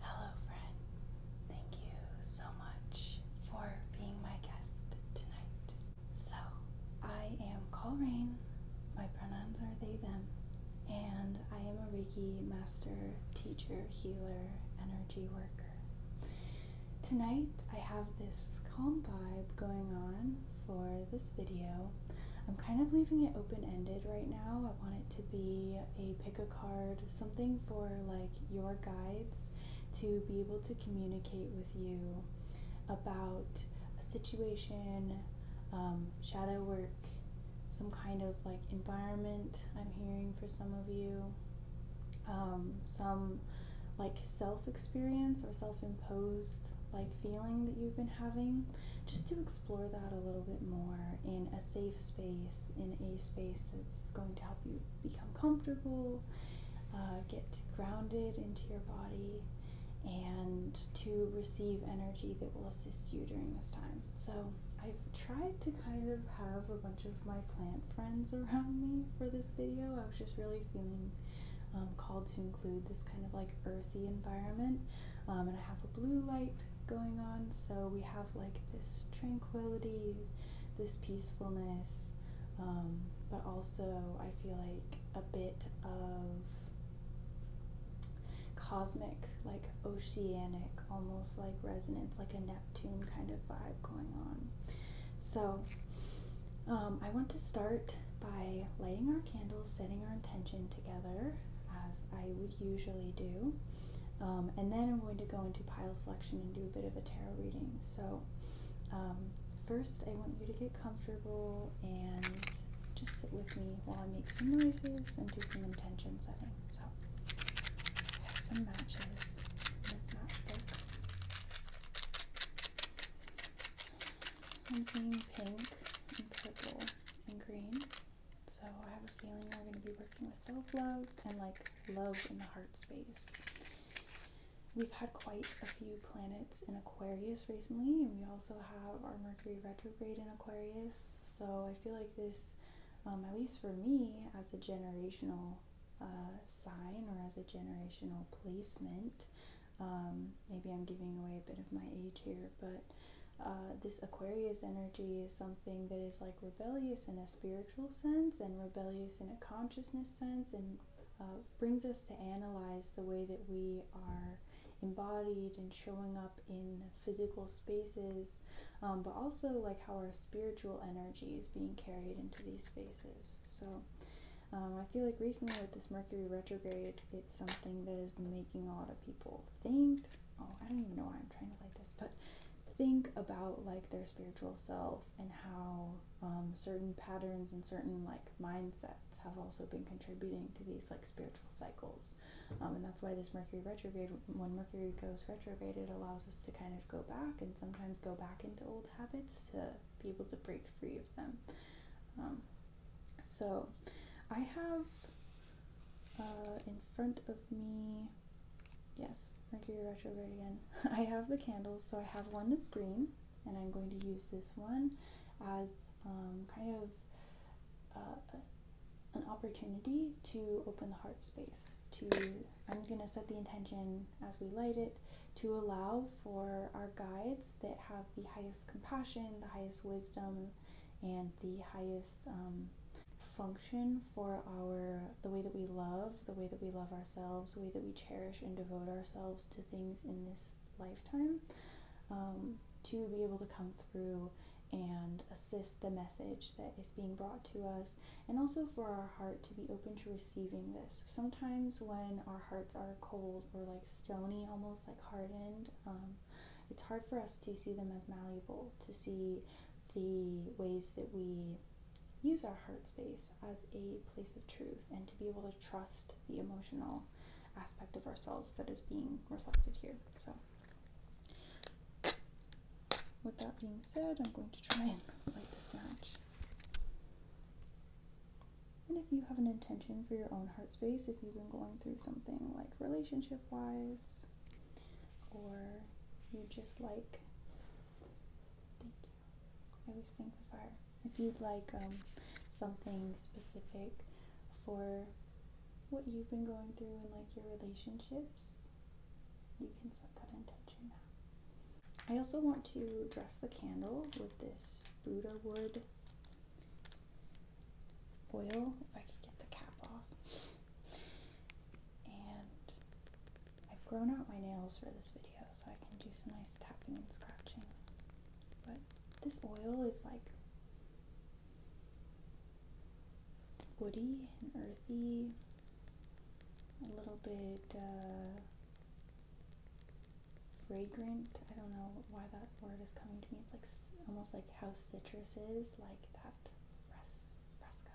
Hello, friend. Thank you so much for being my guest tonight. So, I am Colrain. My pronouns are they, them. And I am a Reiki master, teacher, healer, energy worker. Tonight, I have this calm vibe going on for this video. I'm kind of leaving it open-ended right now. I want it to be a pick a card, something for like your guides to be able to communicate with you about a situation, um, shadow work, some kind of like environment I'm hearing for some of you, um, some like self experience or self imposed like feeling that you've been having, just to explore that a little bit more in a safe space, in a space that's going to help you become comfortable, uh, get grounded into your body, and to receive energy that will assist you during this time. So, I've tried to kind of have a bunch of my plant friends around me for this video. I was just really feeling um, called to include this kind of like earthy environment um, and I have a blue light going on, so we have like this tranquility, this peacefulness, um, but also I feel like a bit of cosmic, like oceanic, almost like resonance, like a Neptune kind of vibe going on. So um, I want to start by lighting our candles, setting our intention, together as I would usually do. Um, and then I'm going to go into pile selection and do a bit of a tarot reading. So, um, first, I want you to get comfortable and just sit with me while I make some noises and do some intention setting. So, I have some matches in this matchbook. I'm seeing pink and purple and green. So I have a feeling we're going to be working with self-love and like love in the heart space. We've had quite a few planets in Aquarius recently, and we also have our Mercury retrograde in Aquarius. So I feel like this, um, at least for me, as a generational uh, sign or as a generational placement, um, maybe I'm giving away a bit of my age here, but uh, this Aquarius energy is something that is like rebellious in a spiritual sense and rebellious in a consciousness sense and uh, brings us to analyze the way that we are embodied and showing up in physical spaces, um, but also like how our spiritual energy is being carried into these spaces. So um, I feel like recently with this Mercury retrograde, something that is making a lot of people think. Oh, I don't even know why I'm trying to like this, but think about like their spiritual self and how um, certain patterns and certain like mindsets have also been contributing to these like spiritual cycles. Um, and that's why this Mercury retrograde, when Mercury goes retrograde, it allows us to kind of go back and sometimes go back into old habits to be able to break free of them. Um, so I have uh, in front of me, yes, thank you, retrograde again. I have the candles, so I have one that's green, and I'm going to use this one as um, kind of uh, an opportunity to open the heart space. To I'm going to set the intention as we light it to allow for our guides that have the highest compassion, the highest wisdom, and the highest um, function for our the way that we love the way that we love ourselves the way that we cherish and devote ourselves to things in this lifetime um, to be able to come through and assist the message that is being brought to us, and also for our heart to be open to receiving this. Sometimes, when our hearts are cold or like stony, almost like hardened, um, it's hard for us to see them as malleable, to see the ways that we use our heart space as a place of truth and to be able to trust the emotional aspect of ourselves that is being reflected here. So, with that being said, I'm going to try and light this match. And if you have an intention for your own heart space, if you've been going through something like relationship wise, or you just like, I always think the fire. If you'd like um, something specific for what you've been going through and like your relationships, you can set that intention I also want to dress the candle with this Buddha wood Oil. if I could get the cap off. And I've grown out my nails for this video so I can do some nice tapping and scratching. But this oil is like woody and earthy, a little bit uh, fragrant. I don't know why that word is coming to me. It's like almost like how citrus is, like that fres fresca,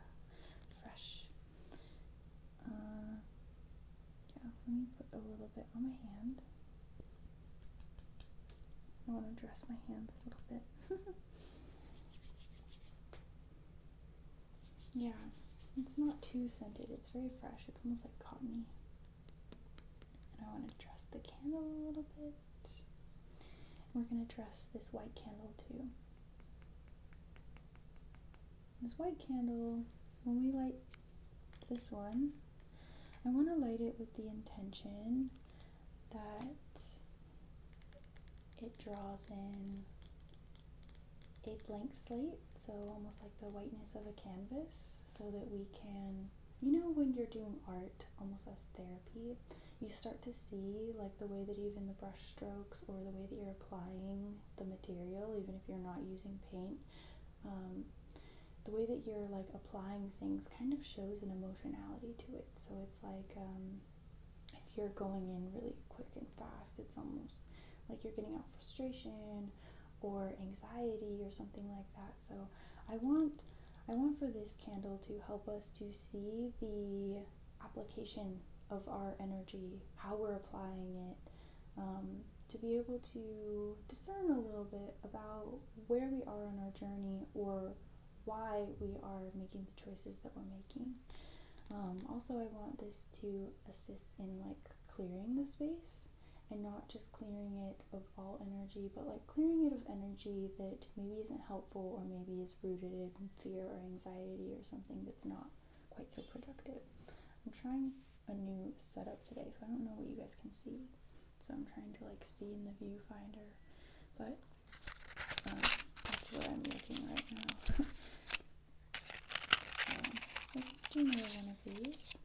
fresh. Uh, yeah, let me put a little bit on my hand. I want to dress my hands a little bit. yeah, it's not too scented. It's very fresh. It's almost like cottony. And I want to dress the candle a little bit. And we're going to dress this white candle too. This white candle, when we light this one, I want to light it with the intention that it draws in a blank slate, so almost like the whiteness of a canvas, so that we can you know when you're doing art almost as therapy you start to see like the way that even the brush strokes or the way that you're applying the material even if you're not using paint um, the way that you're like applying things kind of shows an emotionality to it so it's like um, if you're going in really quick and fast it's almost like you're getting out frustration or anxiety or something like that so i want I want for this candle to help us to see the application of our energy, how we're applying it, um, to be able to discern a little bit about where we are on our journey or why we are making the choices that we're making. Um, also, I want this to assist in like clearing the space and not just clearing it of all energy, but like clearing it of energy that maybe isn't helpful or maybe is rooted in fear or anxiety or something that's not quite so productive. I'm trying a new setup today, so I don't know what you guys can see. So I'm trying to like see in the viewfinder, but um, that's what I'm looking right now. so I do know one of these,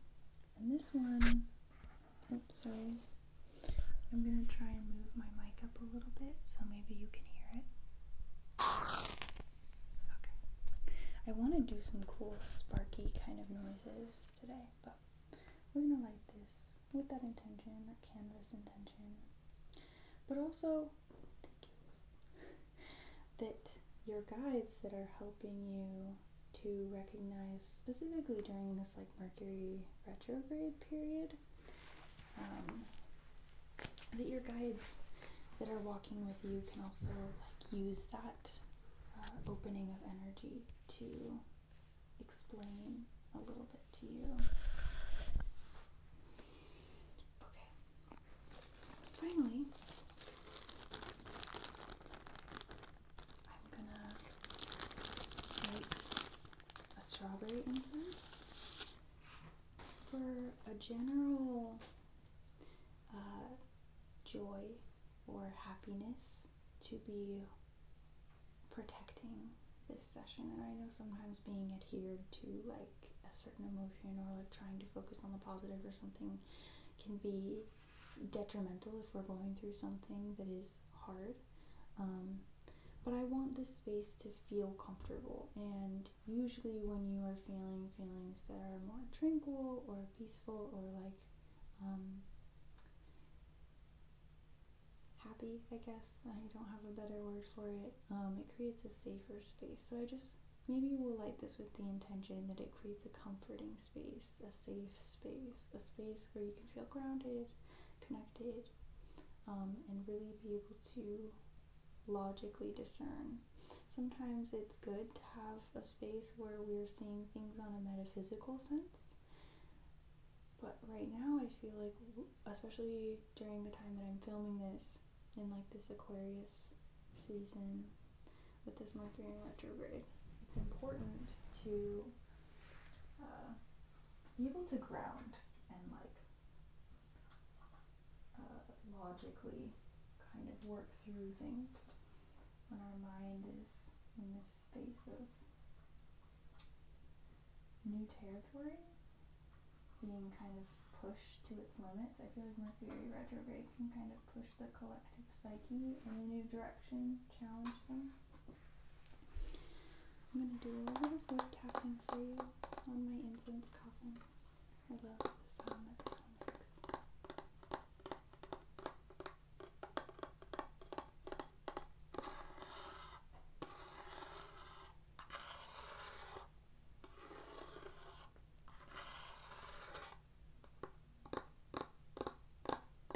and this one I'm oh, sorry. I'm gonna try and move my mic up a little bit so maybe you can hear it. Okay. I want to do some cool sparky kind of noises today, but we're gonna light this with that intention, that canvas intention, but also that your guides that are helping you to recognize specifically during this like Mercury retrograde period um, that your guides that are walking with you can also like use that uh, opening of energy to explain a little bit to you. Okay. Finally, I'm gonna make a strawberry incense for a general uh, joy or happiness to be protecting this session. And I know sometimes being adhered to like a certain emotion or like trying to focus on the positive or something can be detrimental if we're going through something that is hard. Um, but I want this space to feel comfortable, and usually, when you are feeling feelings that are more tranquil or peaceful or like um, happy, I guess, I don't have a better word for it, um, it creates a safer space. So, I just maybe we'll light this with the intention that it creates a comforting space, safe space, a space where you can feel grounded, connected, um, and really be able to logically discern. Sometimes it's good to have a space where we're seeing things on a metaphysical sense. But right now, I feel like, especially during the time that I'm filming this, in like this Aquarius season with this Mercury retrograde, it's important to uh, be able to ground and like uh, logically kind of work through things when our mind is in this space of new territory, being kind of pushed to its limits. I feel like Mercury retrograde can kind of push the collective psyche in a new direction, challenge things. I'm going to do a little bit of wood tapping for you on my incense coffin. I love the sound that this one makes.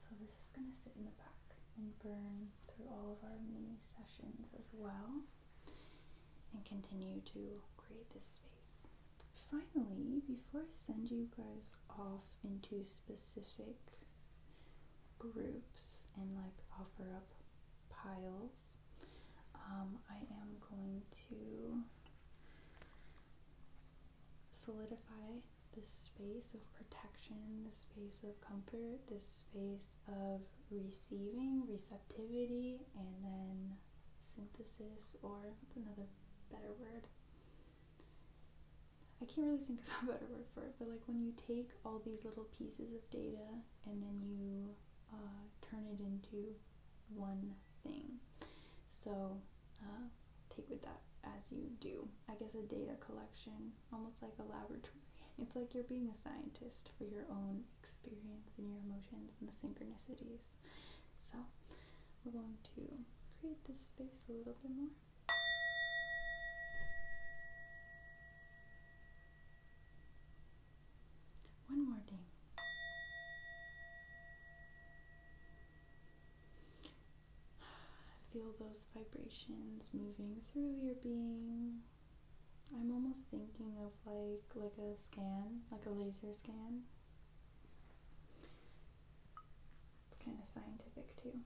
So this is going to sit in the back and burn through all of our mini sessions as well and continue to create this space. Finally, before I send you guys off into specific groups and like offer up piles, um, I am going to solidify this space of protection, this space of comfort, this space of receiving, receptivity, and then synthesis, or what's another better word? I can't really think of a better word for it, but like when you take all these little pieces of data and then you uh, turn it into one thing. So uh, take with that as you do. I guess a data collection, almost like a laboratory. It's like you're being a scientist for your own experience and your emotions and the synchronicities. So we're going to create this space a little bit more. One more thing. Feel those vibrations moving through your being. I'm almost thinking of like like a scan, like a laser scan. It's kind of scientific too.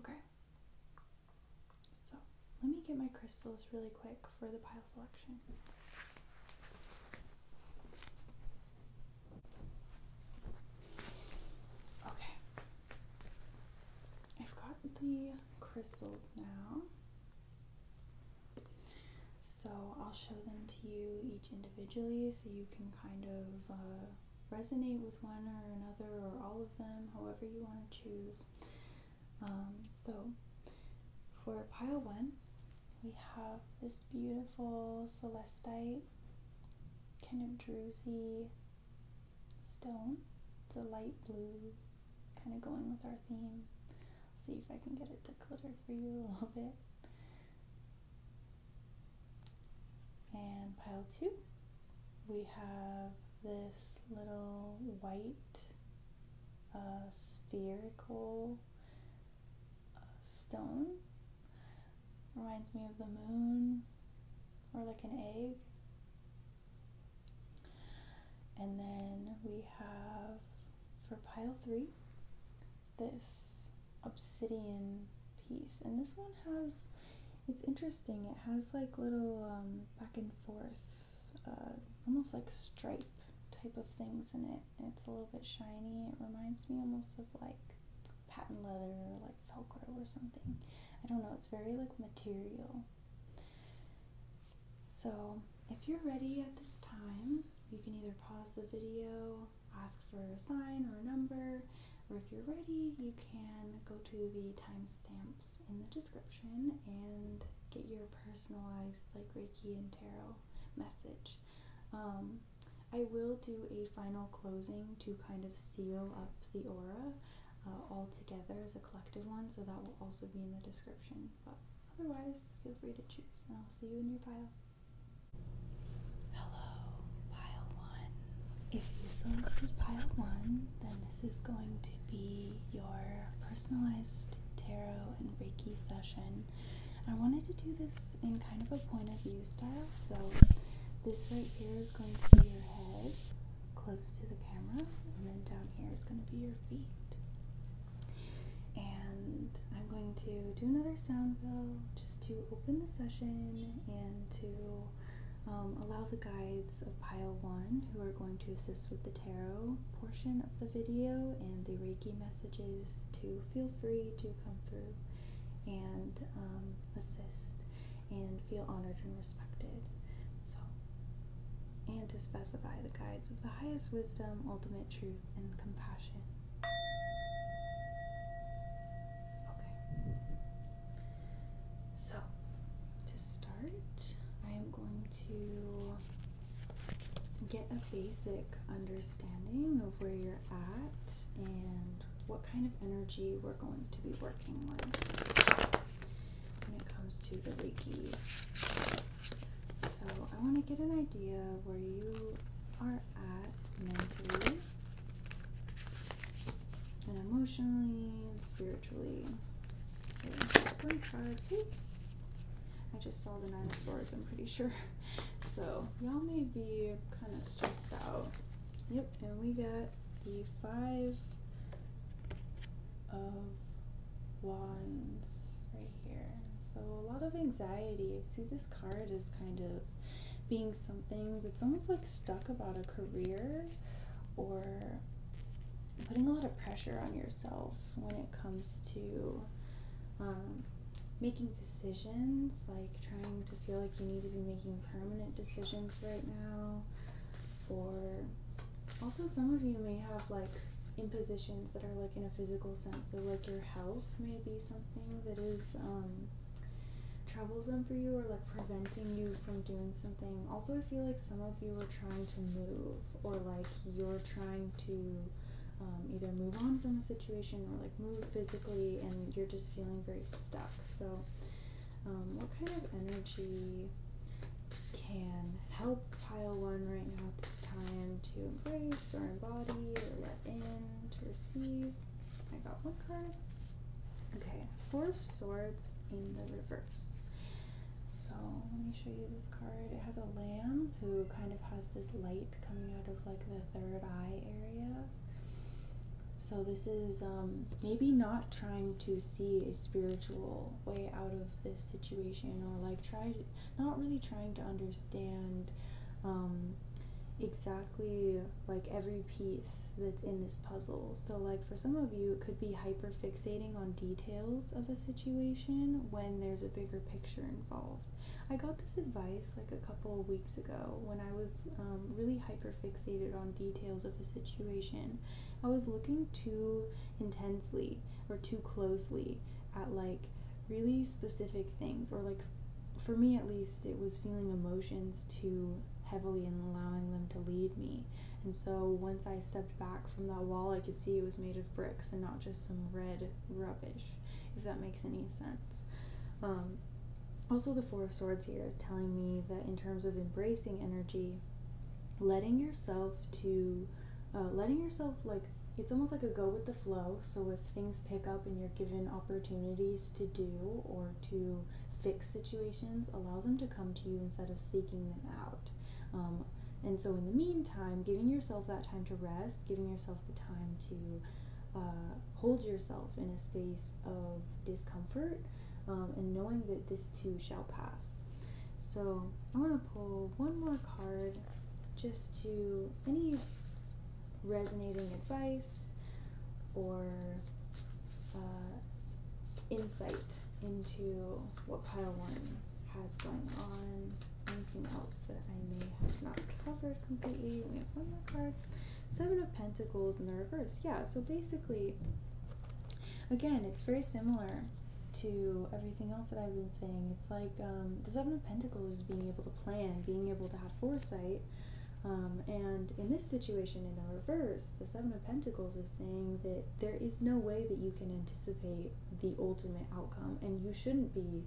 Okay. So let me get my crystals really quick for the pile selection. Okay. I've got the crystals now. So I'll show them to you each individually so you can kind of uh, resonate with one or another or all of them, however you want to choose. Um, so for pile one, we have this beautiful celestite, kind of druzy stone. It's a light blue, kind of going with our theme. See if I can get it to glitter for you a little bit. And pile two, we have this little white a spherical uh, stone. Reminds me of the moon or like an egg. And then we have for pile three this obsidian piece. And this one has, it's interesting, it has like little um, back and forth uh, almost like stripe type of things in it. it's a little bit shiny. It reminds me almost of like patent leather or like Velcro or something. I don't know. It's very like material. So if you're ready at this time, you can either pause the video, ask for a sign or a number, or if you're ready, you can go to the timestamps in the and get your personalized like Reiki and tarot message. Um, I will do a final closing to kind of seal up the aura uh, all together as a collective one, so that will also be in the description. But otherwise, feel free to choose, and I'll see you in your pile. Hello, pile one. If you selected pile one, then this is going to be your personalized tarot and Reiki session. I wanted to do this in kind of a point of view style, so this right here is going to be your head close to the camera, and then down here is going to be your feet. And I'm going to do another sound bill just to open the session and to um, allow the guides of pile one who are going to assist with the tarot portion of the video and the Reiki messages to feel free to come through and um, assist and feel honored and respected. So, and to specify the guides of the highest wisdom, ultimate truth, and compassion. Okay. So, to start, I am going to get a basic understanding of where you're at and what kind of energy we're going to be working with when it comes to the Reiki. So, I want to get an idea where you are at mentally and emotionally spiritually. I just saw the Nine of Swords, I'm pretty sure. So, y'all may be kind of stressed out. Yep, and we got the Five of Wands right here. So, a lot of anxiety. I see this card is kind of being something that's almost like stuck about a career or putting a lot of pressure on yourself when it comes to um, making decisions, like trying to feel like you need to be making permanent decisions right now, or also some of you may have like impositions that are like in a physical sense, so like your health may be something that is. Um, troublesome for you or like preventing you from doing something. Also, I feel like some of you are trying to move or like you're trying to um, either move on from a situation or like move physically and you're just feeling very stuck. So, um, what kind of energy can help pile one right now at this time to embrace or embody or let in to receive? I got one card. Okay, Four of Swords in the reverse. So let me show you this card. It has a lamb who kind of has this light coming out of like the third eye area. So this is um, maybe not trying to see a spiritual way out of this situation, or like try not really trying to understand um, exactly like every piece that's in this puzzle. So like for some of you, it could be hyper fixating on details of a situation situation when there's a bigger picture involved. I got this advice like a couple of weeks ago when I was um, really hyper fixated on details of a situation. I was looking too intensely or too closely at like really specific things, or like for me at least, it was feeling emotions too heavily and allowing them to lead me. And so once I stepped back from that wall, I could see it was made of bricks and not just some red rubbish, if that makes any sense. Um, also, the Four of Swords here is telling me that in terms of embracing energy, letting yourself to, uh, letting yourself like, it's almost like a go with the flow. So if things pick up and you're given opportunities to do or to fix situations, allow them to come to you instead of seeking them out um, and so, in the meantime, giving yourself that time to rest, giving yourself the time to uh, hold yourself in a space of discomfort, um, and knowing that this too shall pass. So, I want to pull one more card just to any resonating advice or uh, insight into what pile one has going on, anything else that I may have not covered completely. We have one more card. Seven of Pentacles in the reverse. Yeah, so basically, again, it's very similar to everything else that I've been saying. It's like um, the Seven of Pentacles is being able to plan, being able to have foresight. Um, and in this situation, in the reverse, the Seven of Pentacles is saying that there is no way that you can anticipate the ultimate outcome, and you shouldn't be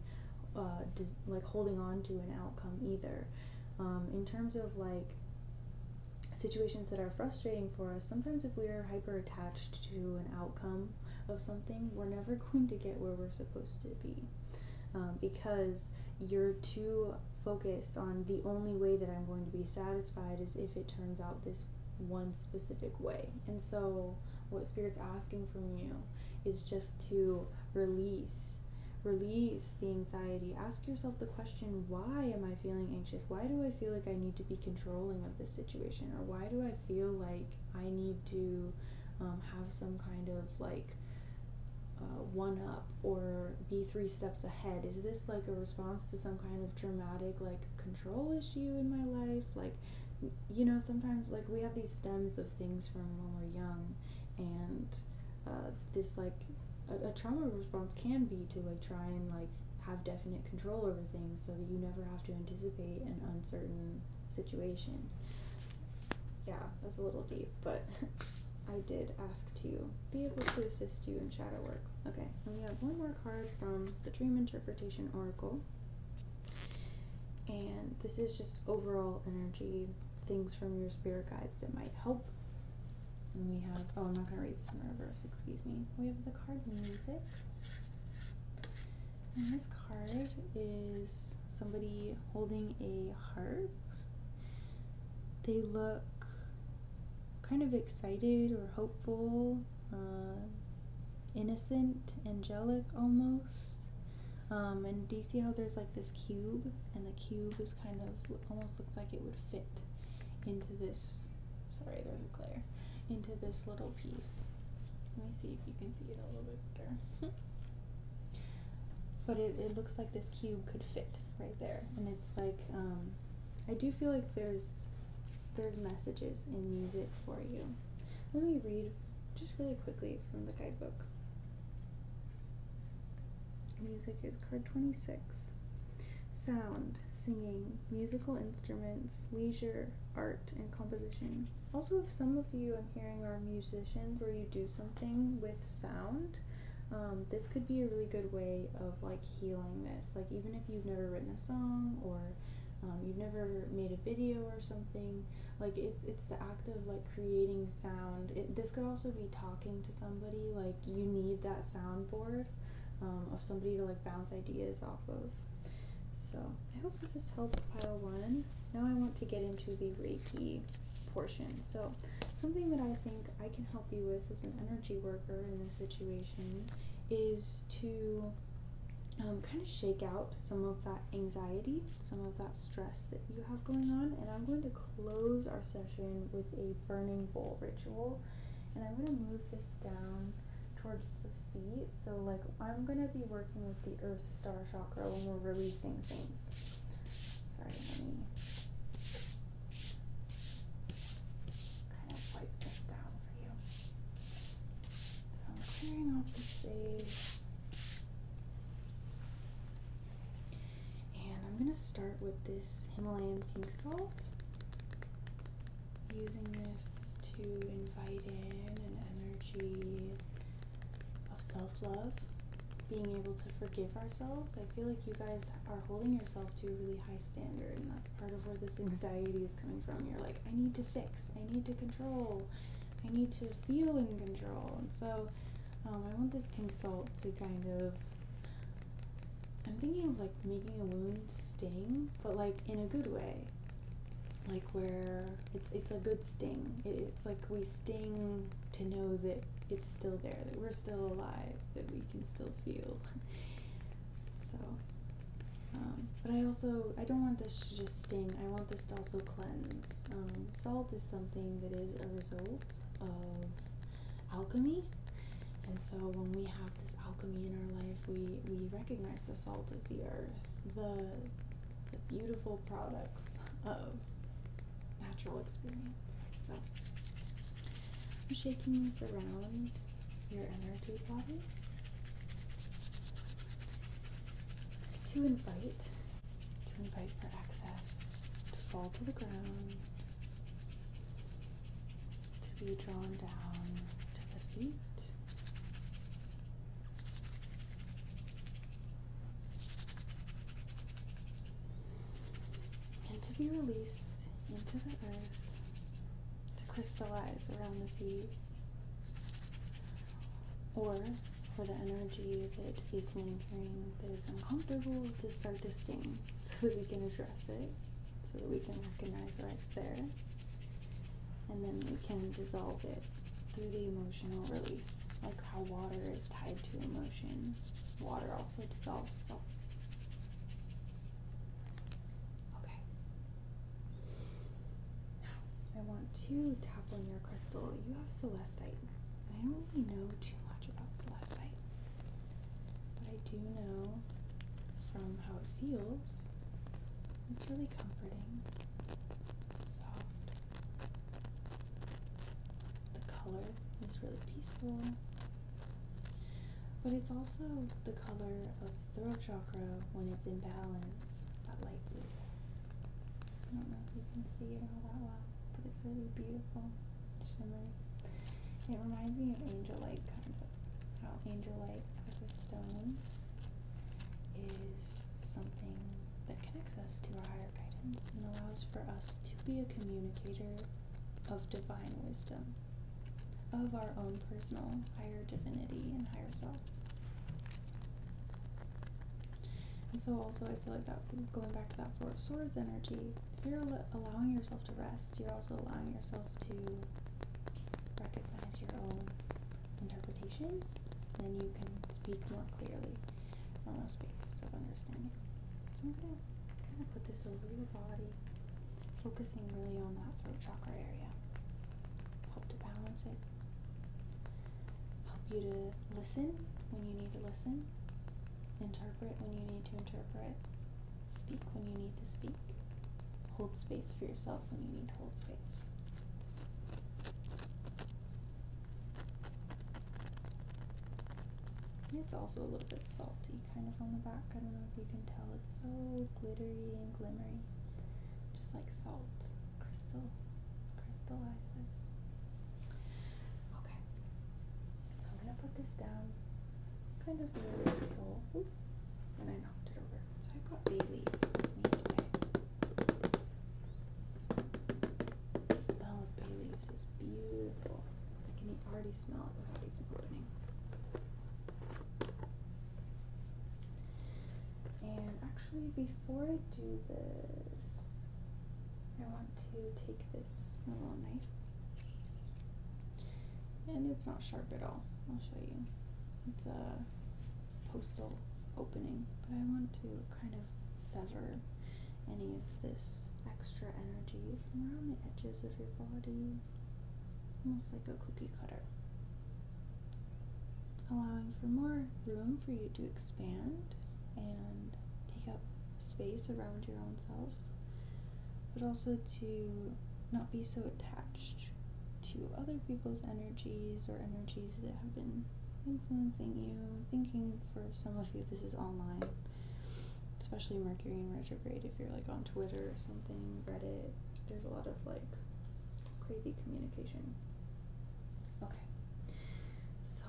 uh, like holding on to an outcome either. Um, in terms of like situations that are frustrating for us, sometimes if we are hyper attached to an outcome of something, we're never going to get where we're supposed to be. Um, because you're too focused on the only way that I'm going to be satisfied is if it turns out this one specific way. And so, what Spirit's asking from you is just to release. Release the anxiety. Ask yourself the question why am I feeling anxious? Why do I feel like I need to be controlling of this situation? Or why do I feel like I need to um, have some kind of like uh, one up or be three steps ahead? Is this like a response to some kind of dramatic like control issue in my life like you know sometimes like we have these stems of things from when we're young and uh, this like a trauma response can be to like try and like have definite control over things so that you never have to anticipate an uncertain situation yeah that's a little deep but i did ask to be able to assist you shadow work. Okay, and we have one more card from the Dream Interpretation Oracle. And this is just overall energy, things from your spirit guides that might help. And we have, oh, I'm not going to read this in reverse, excuse me. We have the card Music. And this card is somebody holding a harp. They look kind of excited or hopeful. Uh, innocent, angelic almost. Um, and do you see how there's like this cube? And the cube is kind of almost looks like it would fit into this. Sorry, there's a glare. Into this little piece. Let me see if you can see it a little bit better. but it, looks like this cube could fit right there. And it's like, um, I do feel like there's there's messages in music for you. Let me read just really quickly from the guidebook. Music is card 26. Sound, singing, musical instruments, leisure, art, and composition. Also, if some of you I'm hearing are musicians or you do something with sound, um, this could be a really good way of like healing this. Like, even if you've never written a song or um, you've never made a video or something like it's it's the act of like creating sound this could also be talking to somebody like you need that soundboard um, of somebody to like bounce ideas off of so i hope that this helped pile one now i want to get into the reiki portion so something that i think i can help you with as an energy worker in this situation is to um, kind of shake out some of that anxiety, some of that stress that you have going on. And I'm going to close our session with a burning bowl ritual. And I'm going to move this down towards the feet. So, like, I'm going to be working with the earth star chakra when we're releasing things. Sorry, let me kind of wipe this down for you. So I'm clearing off the space. And I'm going to start with this Himalayan pink salt. Using this to invite in an energy of self love, being able to forgive ourselves. I feel like you guys are holding yourself to a really high standard, and part of where this anxiety is coming from. You're like, I need to fix, I need to control, I need to feel in control. And so um, I want this consult to kind of. I'm thinking of like making a wound sting, but like in a good way. Like where it's it's a good sting. it's like we sting to know that it's still there, that we're still alive, that we can still feel. So, um, but I also I don't want this to just sting. I want this to also cleanse. Um, salt is something that is a result of alchemy, and so when we have this alchemy in our life, we we recognize the salt of the earth, the the beautiful products of natural experience. So. I'm shaking this around your energy body to invite to invite for access to fall to the ground to be drawn down to the feet and to be released into the earth to crystallize around the feet, or for the energy that is lingering, that is uncomfortable, to start to sting so that we can address it, so that we can recognize that it's there, and then we can dissolve it through the emotional release, like how water is tied to emotion. Water also dissolves Okay, now, I want to tap on your crystal. You have celestite. I don't really know too much about celestite, but I do know from how it feels. It's really comforting, it's soft. The color is really peaceful, but it's also the color of with the throat chakra when it's in balance, but lightly. I don't know if you can see it all that well, but it's really beautiful, shimmering. It reminds me of angel light, kind of. How angel light as a stone is something that connects us to our higher guidance and allows for us to be a communicator of divine wisdom of our own personal higher divinity and higher self. And so, also, I feel like that going back to that Four Swords energy, if you're allowing yourself to rest, you're also allowing yourself to recognize your own interpretation, then you can speak more clearly from a space of understanding. So, I'm going to kind of put this over your body focusing really on that throat chakra area. Help to balance it. Help you to listen when you need to listen. Interpret when you need to interpret. Speak when you need to speak. Hold space for yourself when you need to hold space. It's also a little bit salty kind of on the back. I don't know if you can tell. It's so glittery and glimmery. Just like salt. Crystal. Crystallizes. Okay. So I'm going to put this down. Kind of near this And I knocked it over. So I've got bay leaves with me today. The smell of bay leaves is beautiful. I can already smell it without even opening. And actually, before I do this, I want to take this little knife. And it's not sharp at all. I'll show you. It's a postal opening, but I want to kind of sever any of this extra energy from around the edges of your body almost like a cookie cutter, allowing for more room for you to expand and take up space around your own self, but also to not be so attached to other people's energies or energies that have been influencing you. I'm thinking for some of you, this is all mine, especially Mercury and retrograde. Great if you're like on Twitter or something, Reddit. There's a lot of like crazy communication. Okay. So,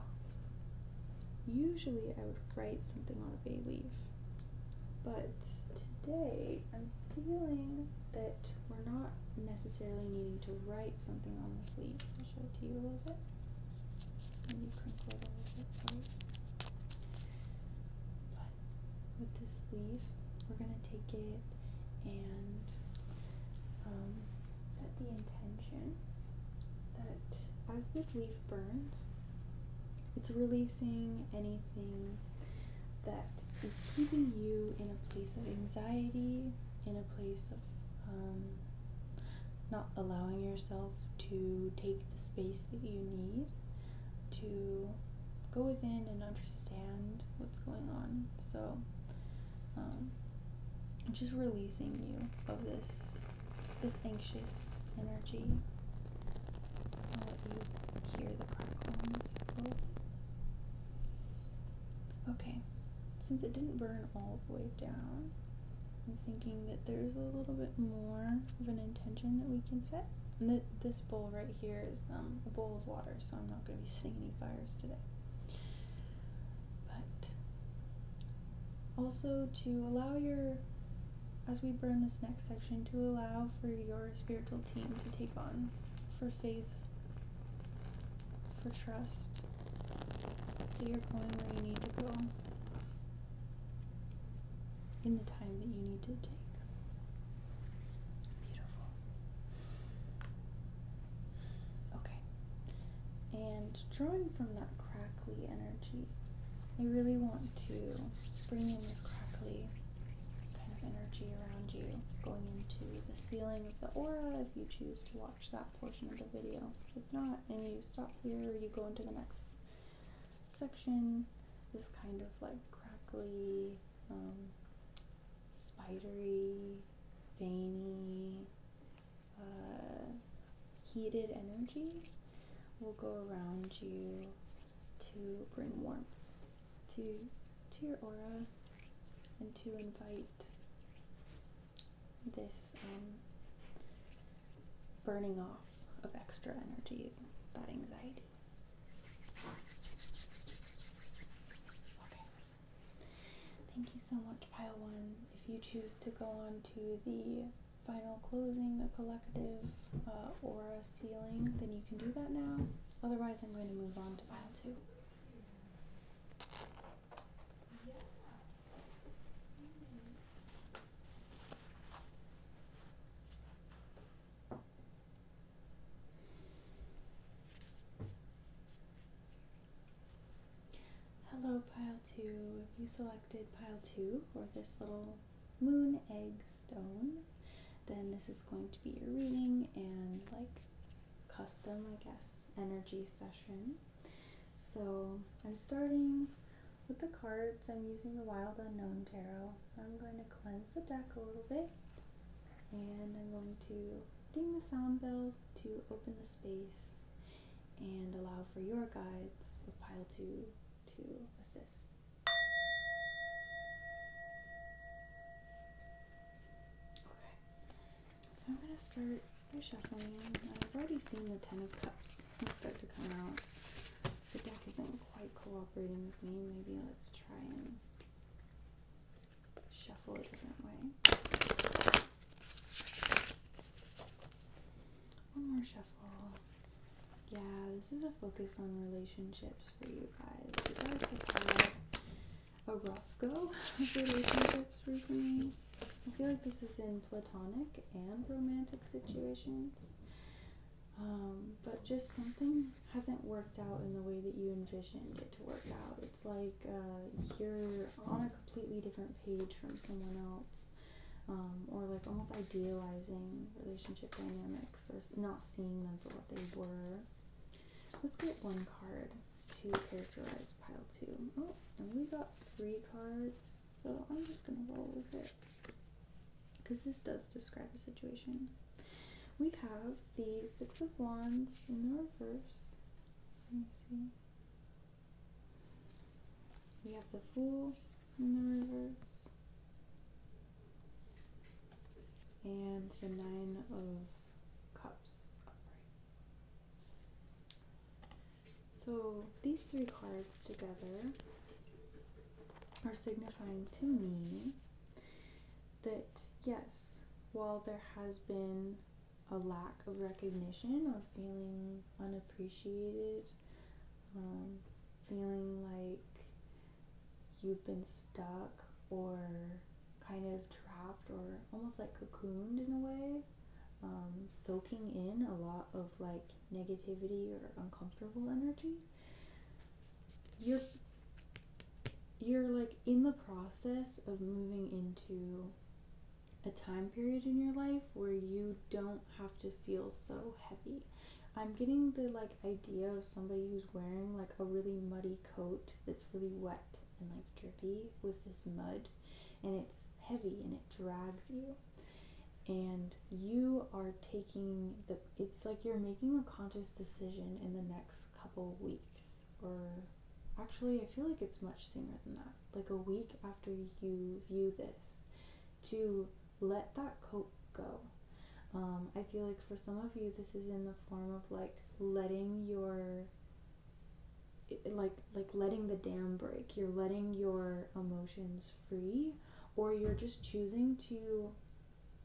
usually I would write something on a bay leaf, but today I'm feeling that we're not necessarily needing to write something on this leaf. I'll show it to you a little bit. Maybe crinkle it a little bit with this leaf. We're going to take it and um, set the intention that as this leaf burns, it's releasing anything that is keeping you in a place of anxiety, in a place of um, not allowing yourself to take the space that you need to go within and understand what's going on. So, um, just releasing you of this this anxious energy. I'll let you hear the crackles Okay, since it didn't burn all the way down, I'm thinking that there's a little bit more of an intention that we can set. that the this bowl right here is um, a bowl of water, so I'm not going to be setting any fires today. But also to allow your, as we burn this next section, to allow for your spiritual team to take on for faith, for trust, that you're going where you need to go in the time that you need to take. Beautiful. Okay. And drawing from that crackly energy, I really want to bring in this crackly kind of energy around you, going into the ceiling of the aura if you choose to watch that portion of the video. If not, and you stop here, you go into the next section, this kind of like crackly um, spidery, feiny, uh, heated energy will go around you to bring warmth to to your aura and to invite this um, burning off of extra energy, that anxiety. Thank you so much, Pile One. If you choose to go on to the final closing, the collective, uh, aura or ceiling, then you can do that now. Otherwise, I'm going to move on to Pile Two. Hello, pile 2. If you selected pile 2 for this little moon egg stone, then this is going to be your reading and like custom, I guess, energy session. So I'm starting with the cards. I'm using the Wild Unknown Tarot. I'm going to cleanse the deck a little bit and I'm going to ding the sound bell to open the space and allow for your guides of pile 2 to assist. Okay, so I'm going to start reshuffling. I've already seen the Ten of Cups start to come out. The deck isn't quite cooperating with me. Maybe let's try and shuffle a different way. One more shuffle. Yeah, this is a focus on relationships for you guys. It does have a rough go of relationships recently. I feel like this is in platonic and romantic situations. Um, but just something hasn't worked out in the way that you envisioned it to work out. It's like uh, you're on a completely different page from someone else, um, or like almost idealizing relationship dynamics or not seeing them for what they were. Let's get one card to characterize pile two. Oh, and we got three cards, so I'm just gonna roll with it because this does describe the situation. We have the Six of Wands in the reverse. We have the Fool in the reverse. And the Nine of Cups So these three cards together are signifying to me that yes, while there has been a lack of recognition or feeling unappreciated, um, feeling like you've been stuck or kind of trapped or almost like cocooned in a way, um, soaking in a lot of like negativity or uncomfortable energy you're you're like in the process of moving into a time period in your life where you don't have to feel so heavy. I'm getting the like idea of somebody who's wearing like a really muddy coat that's really wet and like drippy with this mud and it's heavy and it drags you. And you are taking the, it's like you're making a conscious decision in the next couple weeks, or actually, I feel like it's much sooner than that, like a week after you view this, to let that cope go. Um, I feel like for some of you, this is in the form of like letting your like like letting the dam break you're letting your emotions free or you're just choosing to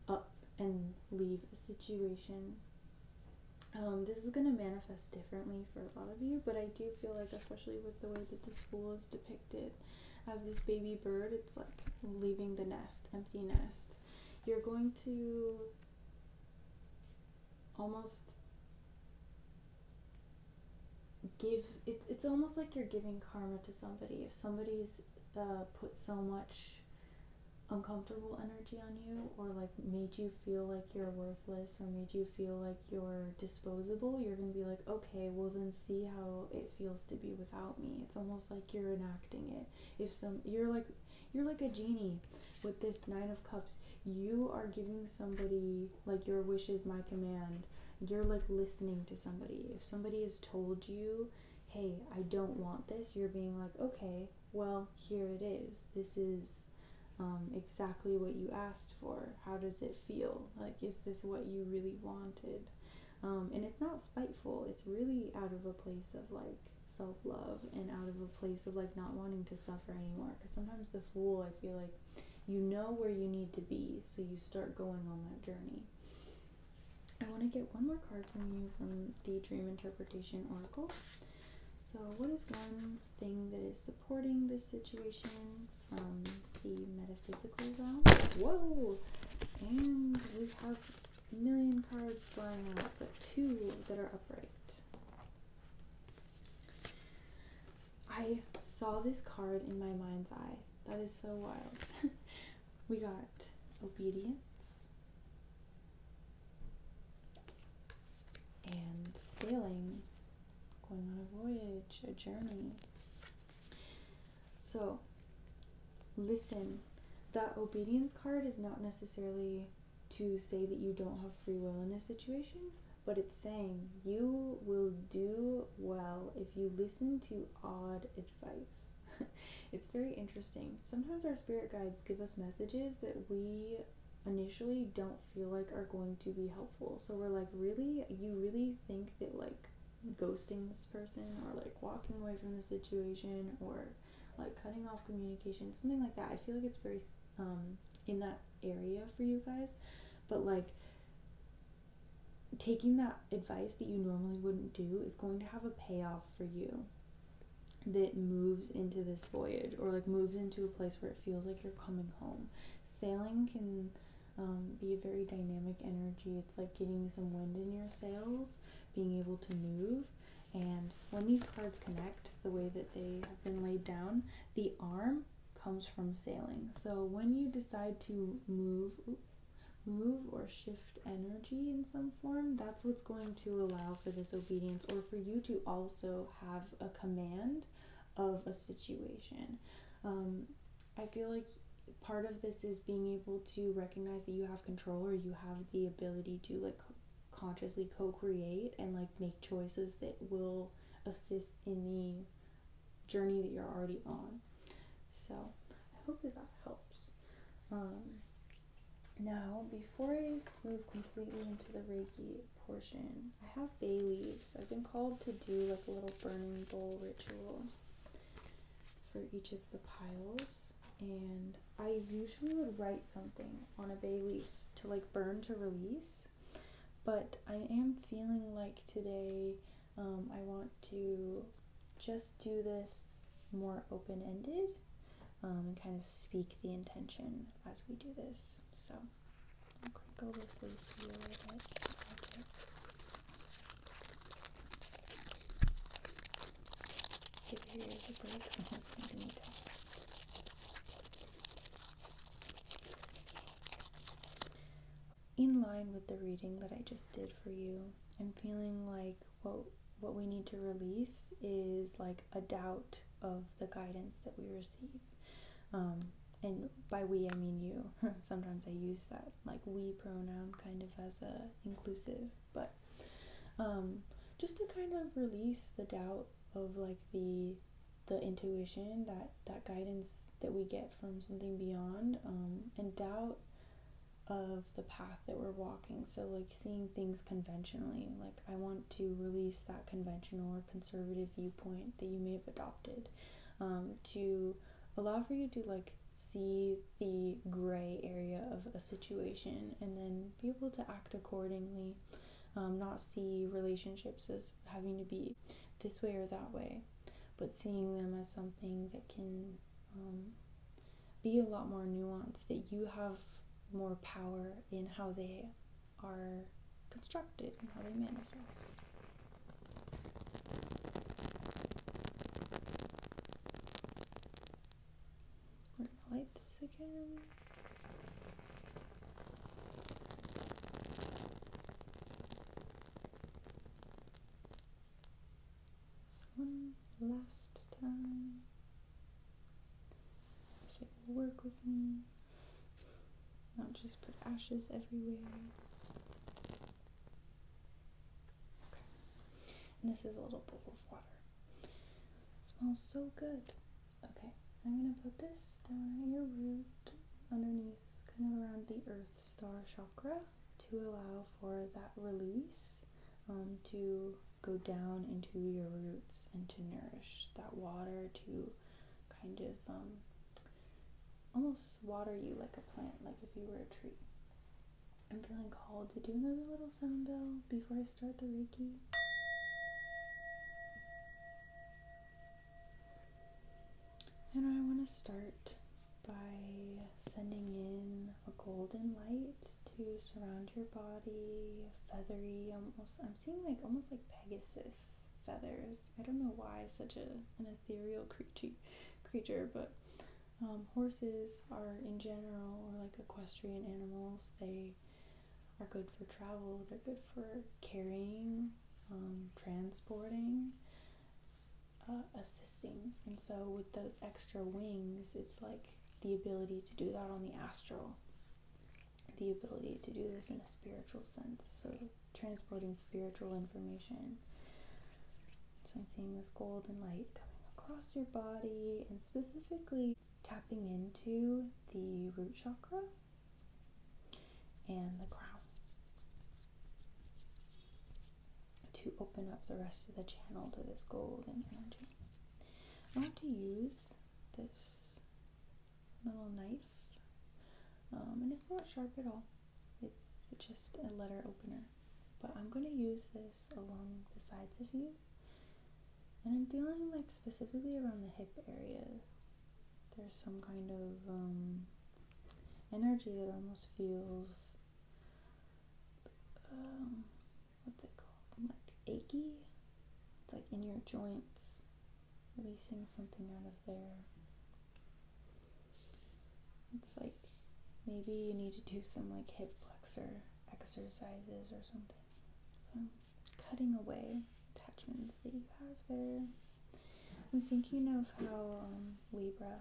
up and leave a situation. Um, this is going to manifest differently for a lot of you, but I do feel like, especially with the way that the fool is depicted as this baby bird, it's like leaving the nest, empty nest. You're going to almost give it's it's almost like you're giving karma to somebody if somebody's uh, put so much uncomfortable energy on you or like made you feel like you're worthless or made you feel like you're disposable, you're going to be like, okay, well then see how it feels to be without me. It's almost like you're enacting it. If some you're like you're like a genie with this 9 of cups. You are giving somebody like your wish is my command. You're like listening to somebody. If somebody has told you hey, I don't want this, you're being like, okay, well, here it is. This is um, exactly what you asked for. How does it feel? Like, is this what you really wanted? Um, and it's not spiteful, it's really out of a place of like self love and out of a place of like not wanting to suffer anymore. Because sometimes the fool, I feel like you know where you need to be, so you start going on that journey. I want to get one more card from you from the Dream Interpretation Oracle. So, what is one thing that is supporting this situation from the metaphysical realm? Whoa! And we have a million cards flying out, but two that are upright. I saw this card in my mind's eye. That is so wild. We got obedience and sailing, going on a voyage, a journey. So, listen, that obedience card is not necessarily to say that you don't have free will in this situation, but it's saying you will do well if you listen to odd advice. it's very interesting. Sometimes our spirit guides give us messages that we initially don't feel like are going to be helpful. So we're like, really? You really think that like ghosting this person or like walking away from the situation or like cutting off communication, something like that. I feel like it's very um in that area for you guys. But like taking that advice that you normally wouldn't do is going to have a payoff for you that moves into this voyage or like moves into a place where it feels like you're coming home. Sailing can um, be a very dynamic energy. It's like getting some wind in your sails, being able to move. And when these cards connect the way that they have been laid down, the arm comes from sailing. So when you decide to move, move or shift energy in some form, that's what's going to allow for this obedience or for you to also have a command of a situation. Um, I feel like part of this is being able to recognize that you have control or you have the ability to like consciously co-create and like make choices that will assist in the journey that you're already on. So, I hope that that helps. Um, now, before I move completely into the Reiki portion, I have bay leaves. I've been called to do like a little burning bowl ritual for each of the piles, and I usually would write something on a bay leaf to like burn to release. But I am feeling like today um, I want to just do this more open ended um, and kind of speak the intention as we do this. So In line with the reading that I just did for you, I'm feeling like what what we need to release is like a doubt of the guidance that we receive. Um, and by we, I mean you. Sometimes I use that like we pronoun kind of as a inclusive, but um, just to kind of release the doubt of like the the intuition that that guidance that we get from something beyond um, and doubt of the path that we're walking. So, like seeing things conventionally, like I want to release that conventional or conservative viewpoint that you may have adopted um, to allow for you to like see the gray area of a situation and then be able to act accordingly. Um, not see relationships as having to be this way or that way, but seeing them as something that can um, be a lot more nuanced, that you have more power in how they are constructed and how they manifest. we one last time. She will work with me, not just put ashes everywhere. Okay. And this is a little bowl of water. It smells so good. Okay, I'm gonna put this down at your root underneath, kind of around the Earth Star chakra to allow for that release um, to go down into your roots and to nourish that water to kind of um, almost water you like a plant, like if you were a tree. I'm feeling called to do another little sound bell before I start the Reiki. And I want to start by sending in a golden light to surround your body, feathery, almost. I'm seeing like almost like Pegasus feathers. I don't know why such a an ethereal creature, creature, but um, horses are in general or like equestrian animals. They are good for travel. They're good for carrying, um, transporting. Uh, assisting. And so, with those extra wings, it's like the ability to do that on the astral, the ability to do this in a spiritual sense. So, transporting spiritual information. So, I'm seeing this golden light coming across your body and specifically tapping into the root chakra and the crown to open up the rest of the channel to this golden energy. I want to use this little knife, um, and it's not sharp at all. It's just a letter opener, but I'm going to use this along the sides of you, and I'm dealing like specifically around the hip area. There's some kind of um, energy that almost feels um, what's it called? Like achy. It's like in your joints, releasing something out of there. It's like maybe you need to do some like hip flexor exercises or something. cutting away attachments that you have there. I'm thinking of how um, Libra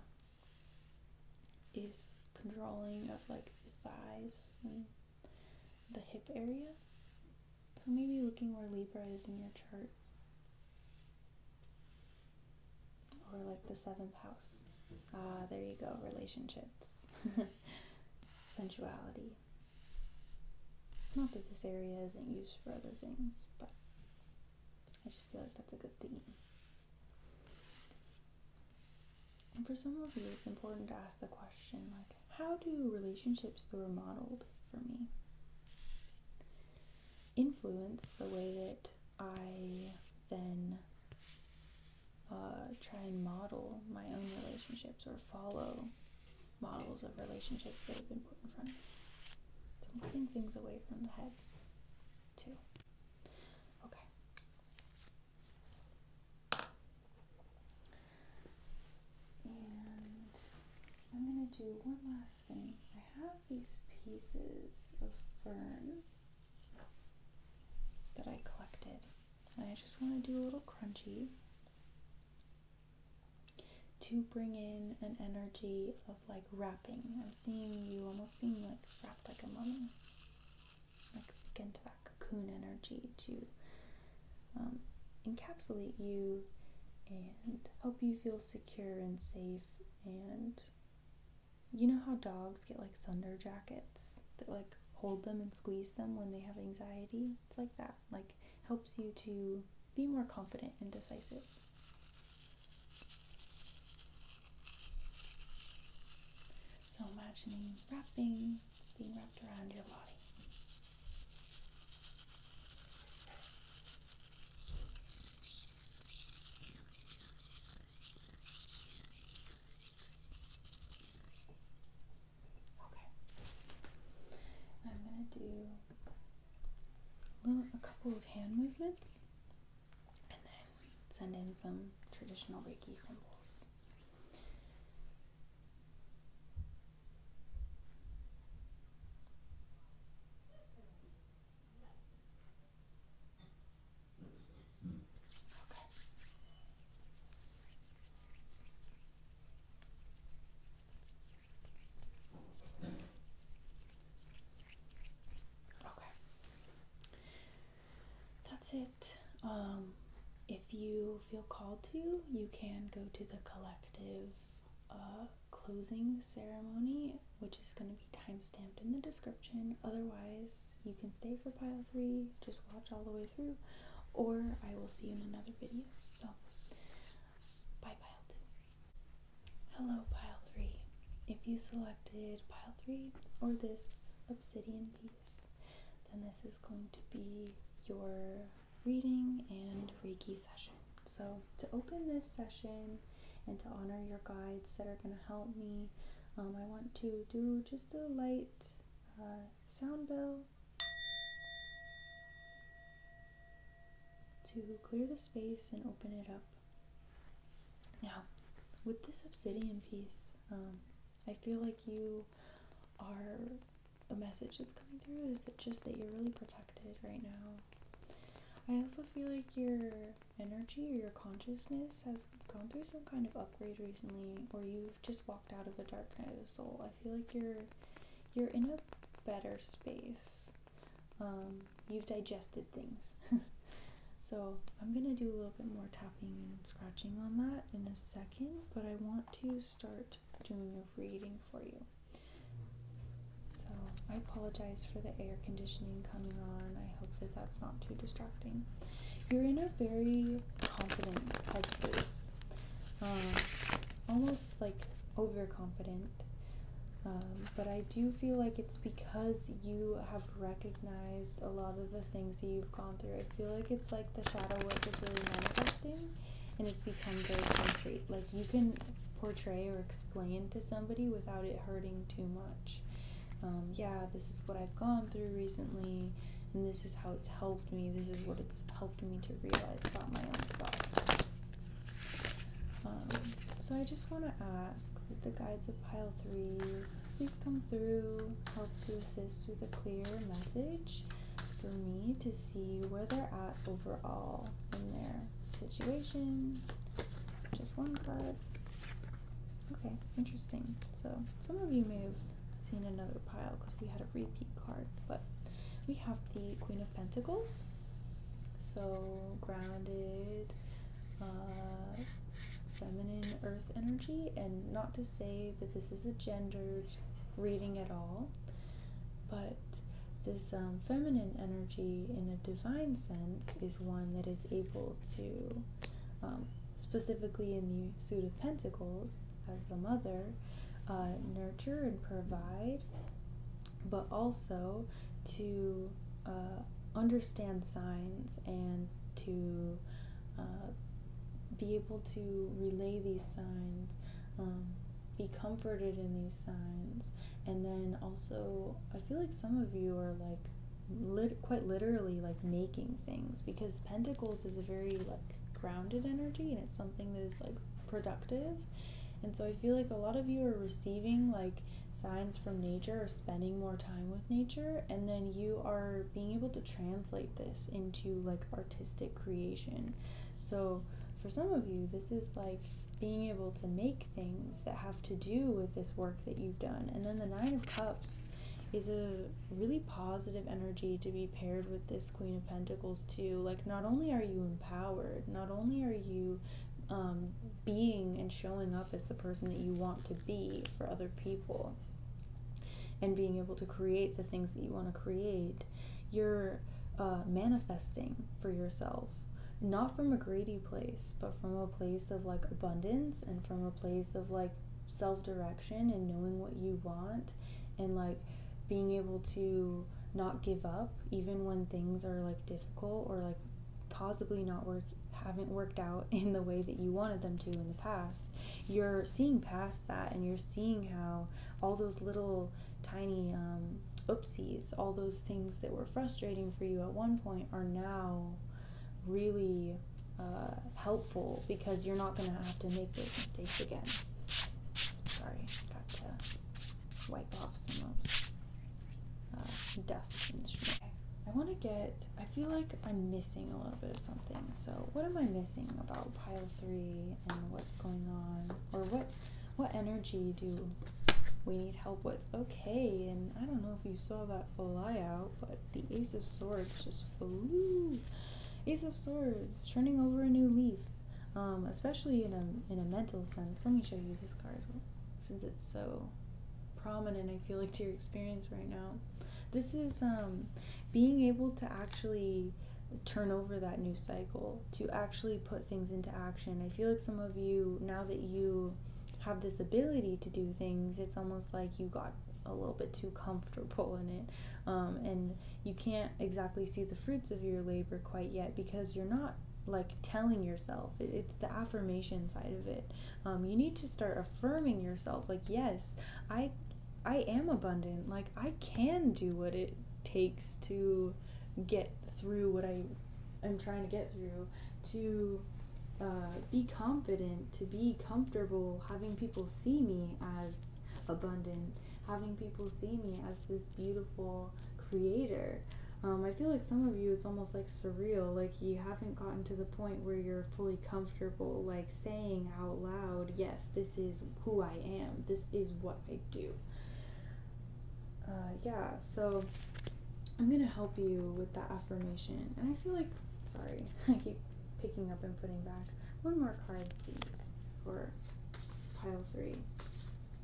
is controlling of like the size and the hip area. So maybe looking where Libra is in your chart. Or like the seventh house. Ah, there you go, relationships. Sensuality. Not that this area isn't used for other things, but I just feel like that's a good theme. And for some of you, it's important to ask the question like, how do relationships that were modeled for me influence the way that I then uh, try and model my own relationships or follow models of relationships that have been put in front of me? So I'm cutting things away from the head, too. Okay. And I'm going to do one last thing. I have these pieces of fern that I collected. I just want to do a little crunchy to bring in an energy like wrapping. I'm seeing you almost being like wrapped like a mummy, like again to that cocoon energy to um, encapsulate you and help you feel secure and safe. And you know how dogs get like thunder jackets that like hold them and squeeze them when they have anxiety? It's like that. Like helps you to be more confident and decisive. So imagining wrapping being wrapped around your body. Okay. I'm going to do a, a couple of hand movements and then send in some traditional Reiki symbols. Okay. That's it. Um, if you feel called to, you can go to the collective uh, closing ceremony, which is going to be time stamped in the description. Otherwise, you can stay for pile three, just watch all the way through, or I will see you in another video. So, bye, pile two. Hello, pile three if you selected pile 3 or this obsidian piece, then this is going to be your reading and Reiki session. So, to open this session and to honor your guides that are going to help me, um, I want to do just a light uh, sound bell to clear the space and open it up now, with this obsidian piece, um, I feel like you are a message that's coming through. Is it just that you're really protected right now? I also feel like your energy or your consciousness has gone through some kind of upgrade recently, or you've just walked out of the dark night of the soul. I feel like you're you're in a better space. Um, you've digested things. so I'm gonna do a little bit more tapping and scratching on that in a second, but I want to start doing a reading for you. So I apologize for the air conditioning coming on. I hope that that's not too distracting. You're in a very confident headspace, um, almost like overconfident. Um, but I do feel like it's because you have recognized a lot of the things that you've gone through. I feel like it's like the shadow work is really manifesting and it's become very concrete. Like you can portray or explain to somebody without it hurting too much. Um, yeah, this is what I've gone through recently, and this is how it's helped me. This is what it's helped me to realize about my own self. Um, so I just want to ask the guides of pile three Please come through, help to assist with a clear message for me to see where they're at overall in their situation. Just one card. Okay, interesting. So some of you may have seen another pile because we had a repeat card, but we have the Queen of Pentacles. So grounded, uh, feminine earth energy, and not to say that this is a gendered reading at all, but this um, feminine energy in a divine sense is one that is able to, um, specifically in the Suit of Pentacles, as the mother, uh, nurture and provide, but also to uh, understand signs and to uh, be able to relay these signs, um, be comforted in these signs, and then also, I feel like some of you are like lit- quite literally like making things because Pentacles is a very like grounded energy and it's something that is like productive, and so I feel like a lot of you are receiving like signs from nature or spending more time with nature and then you are being able to translate this into like artistic creation so for some of you this is like being able to make things that have to do with this work that you've done and then the nine of cups is a really positive energy to be paired with this queen of pentacles too like not only are you empowered not only are you um, being and showing up as the person that you want to be for other people and being able to create the things that you want to create, you're uh, manifesting for yourself. Not from a greedy place, but from a place of like abundance and from a place of like self direction and knowing what you want and like being able to not give up even when things are like difficult or like possibly not work haven't worked out in the way that you wanted them to in the past you're seeing past that and you're seeing how all those little tiny um, oopsies all those things that were frustrating for you at one point are now really uh, helpful because you're not going to have to make those mistakes again sorry got to wipe off some Dust uh, desk instrument. I want to get, I feel like I'm missing a little bit of something. So what am I missing about pile three and what's going on or what, what energy do we need help with? Okay. And I don't know if you saw that fly out, but the ace of swords just flew. Ace of swords turning over a new leaf. Um, especially in a, in a mental sense. Let me show you this card since it's so prominent, I feel like, to your experience right now. This is um, being able to actually turn over that new cycle, to actually put things into action. I feel like some of you, now that you have this ability to do things, it's almost like you got a little bit too comfortable in it. Um, and you can't exactly see the fruits of your labor quite yet because you're not like telling yourself. It's the affirmation side of it um, you need to start affirming yourself like yes i i am abundant like i can do what it takes to get through what i am trying to get through to uh, be confident to be comfortable having people see me as abundant having people see me as this beautiful creator um, I feel like some of you, it's almost like surreal. Like you haven't gotten to the point where you're fully comfortable, like saying out loud, yes, this is who I am, this is what I do. Uh, yeah, so I'm gonna help you with the affirmation. And I feel like, sorry, I keep picking up and putting back. One more card, please, for pile three.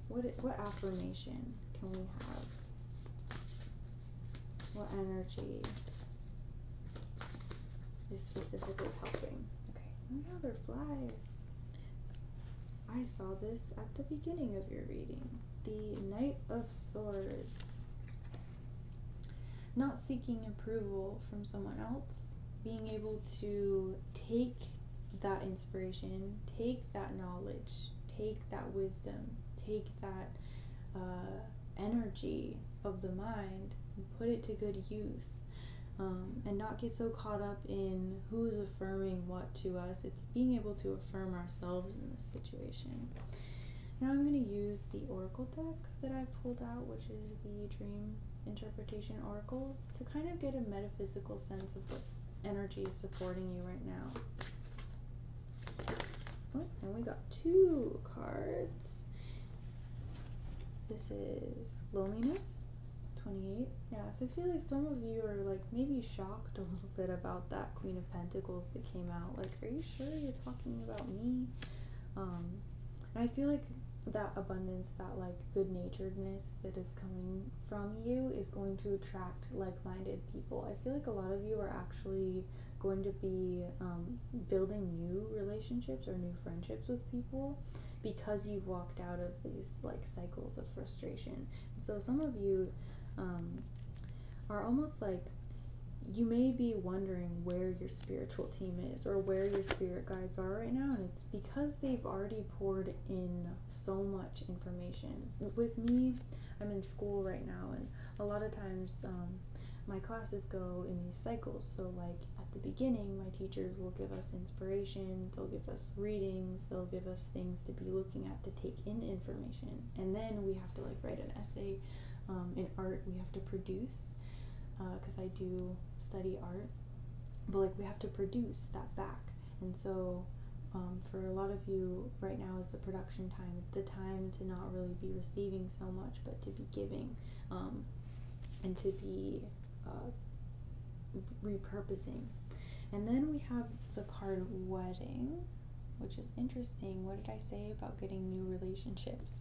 What, what affirmation can we have? What energy is specifically helping? Okay, another fly. I saw this at the beginning of your reading. The Knight of Swords. Not seeking approval from someone else, being able to take that inspiration, take that knowledge, take that wisdom, take that uh, energy of the mind put it to good use um, and not get so caught up in who's affirming what to us. It's being able to affirm ourselves in this situation. Now I'm going to use the oracle deck that I pulled out, which is the Dream Interpretation Oracle, to kind of get a metaphysical sense of what energy is supporting you right now. Oh, and we got two cards. This is Loneliness, 28. Yes, I feel like some of you are like maybe shocked a little bit about that Queen of Pentacles that came out. Like, are you sure you're talking about me? Um, and I feel like that abundance, that like good naturedness that is coming from you is going to attract like minded people. I feel like a lot of you are actually going to be um, building new relationships or new friendships with people because you've walked out of these like cycles of frustration. so some of you um, are almost like you may be wondering where your spiritual team is or where your spirit guides are right now, and it's because they've already poured in so much information. With me, I'm in school right now, and a lot of times um, my classes go in these cycles. So, like at the beginning, my teachers will give us inspiration, they'll give us readings, they'll give us things to be looking at to take in information. And then we have to like write an essay. Um, in art, we have to produce because uh, I do study art, but like we have to produce that back. And so, um, for a lot of you right now, is the produ time, the time to not really be receiving so much, but to be giving um, and to be uh, repurposing. And then we have the card wedding, which is interesting. What did I say about getting new relationships?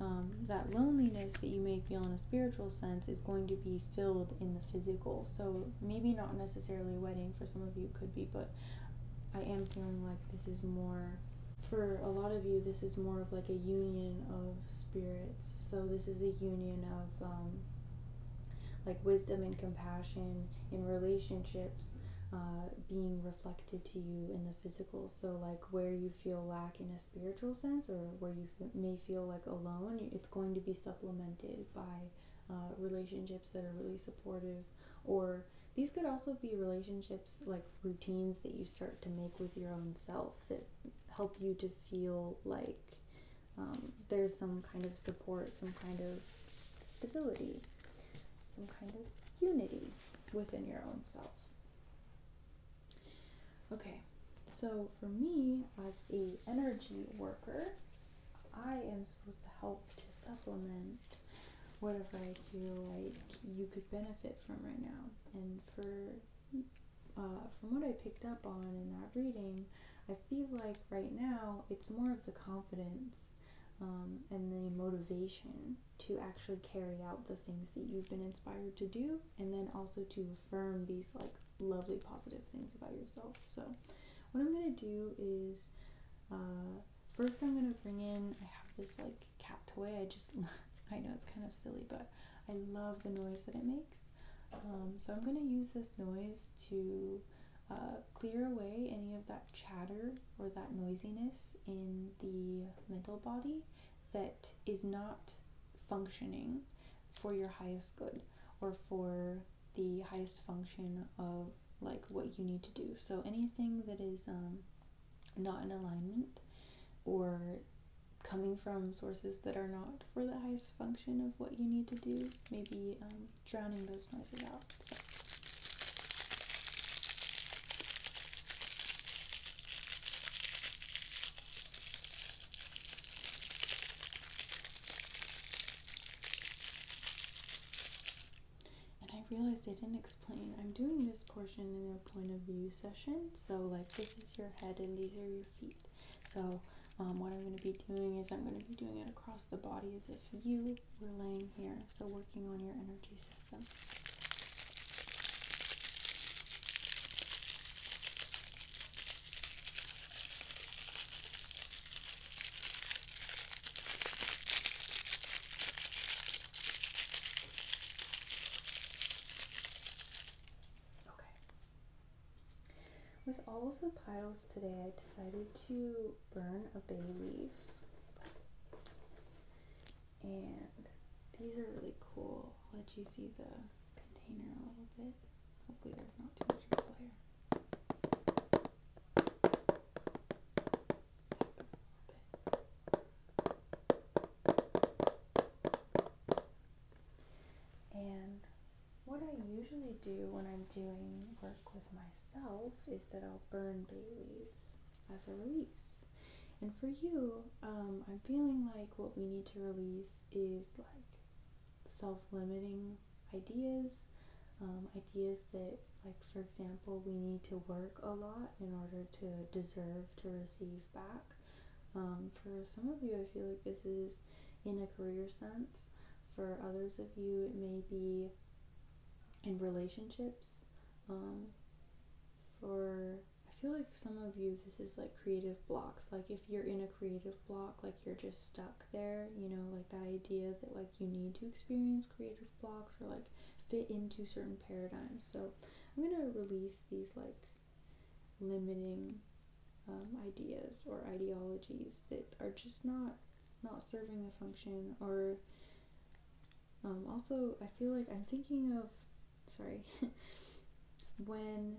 Um, that loneliness that you may feel in a spiritual sense is going to be filled in the physical. So maybe not necessarily a wedding for some of you could be, but I am feeling like this is more for a lot of you this is more of like a union of spirits so this is a union of um, like wisdom and compassion in relationships uh, being reflected to you in the physical so like where you feel lack in a spiritual sense or where you may feel like alone it's going to be supplemented by uh, relationships that are really supportive or these could also be relationships like routines that you start to make with your own self that help you to feel like um, there's some kind of support, some kind of stability, some kind of unity within your own self. Okay, so for me as a energy worker, I am supposed to help to supplement whatever I feel like you could benefit from right now. And for uh, from what I picked up on in that reading, I feel like right now it's more of the confidence um, and the motivation to actually carry out the things that you've been inspired to do, and then also to affirm these like lovely positive things about yourself. So, what I'm gonna do is uh, first I'm gonna bring in I have this like cat toy. I just I know it's kind of silly, but I love the noise that it makes. Um, so I'm gonna use this noise to uh, clear away any of that chatter or that noisiness in the mental body that is not functioning for your highest good or for the highest function of like what you need to do. So anything that is um, not in alignment or coming from sources that are not for the highest function of what you need to do, maybe um, drowning those noises out. And I realized they didn't explain. I'm doing this portion in a point of view session. So, like, this is your head and these are your feet. So, um, what I'm going to be doing is I'm going to be doing it across the body as if you were laying here. So, working on your energy system. Okay. With all of the piles today, I decided to burn a bay leaf. And these are really cool. I'll let you see the container a little bit. Hopefully there's not too much layer. And what I usually do when I'm doing work with myself is that I'll burn bay leaves as a release. And for you, um, I'm feeling like what we need to release is like self limiting ideas, um, ideas that like for example we need to work a lot in order to deserve to receive back um, for some of you i feel like this is in a career sense for others of you it may be in relationships um, for i feel like some of you this is like creative blocks like if you're in a creative block like you're just stuck there you know like that idea that like you need to experience creative blocks or like fit into certain paradigms. So I'm gonna release these like limiting um, ideas or ideologies that are just not not serving a function or um, also I feel like I'm thinking of sorry when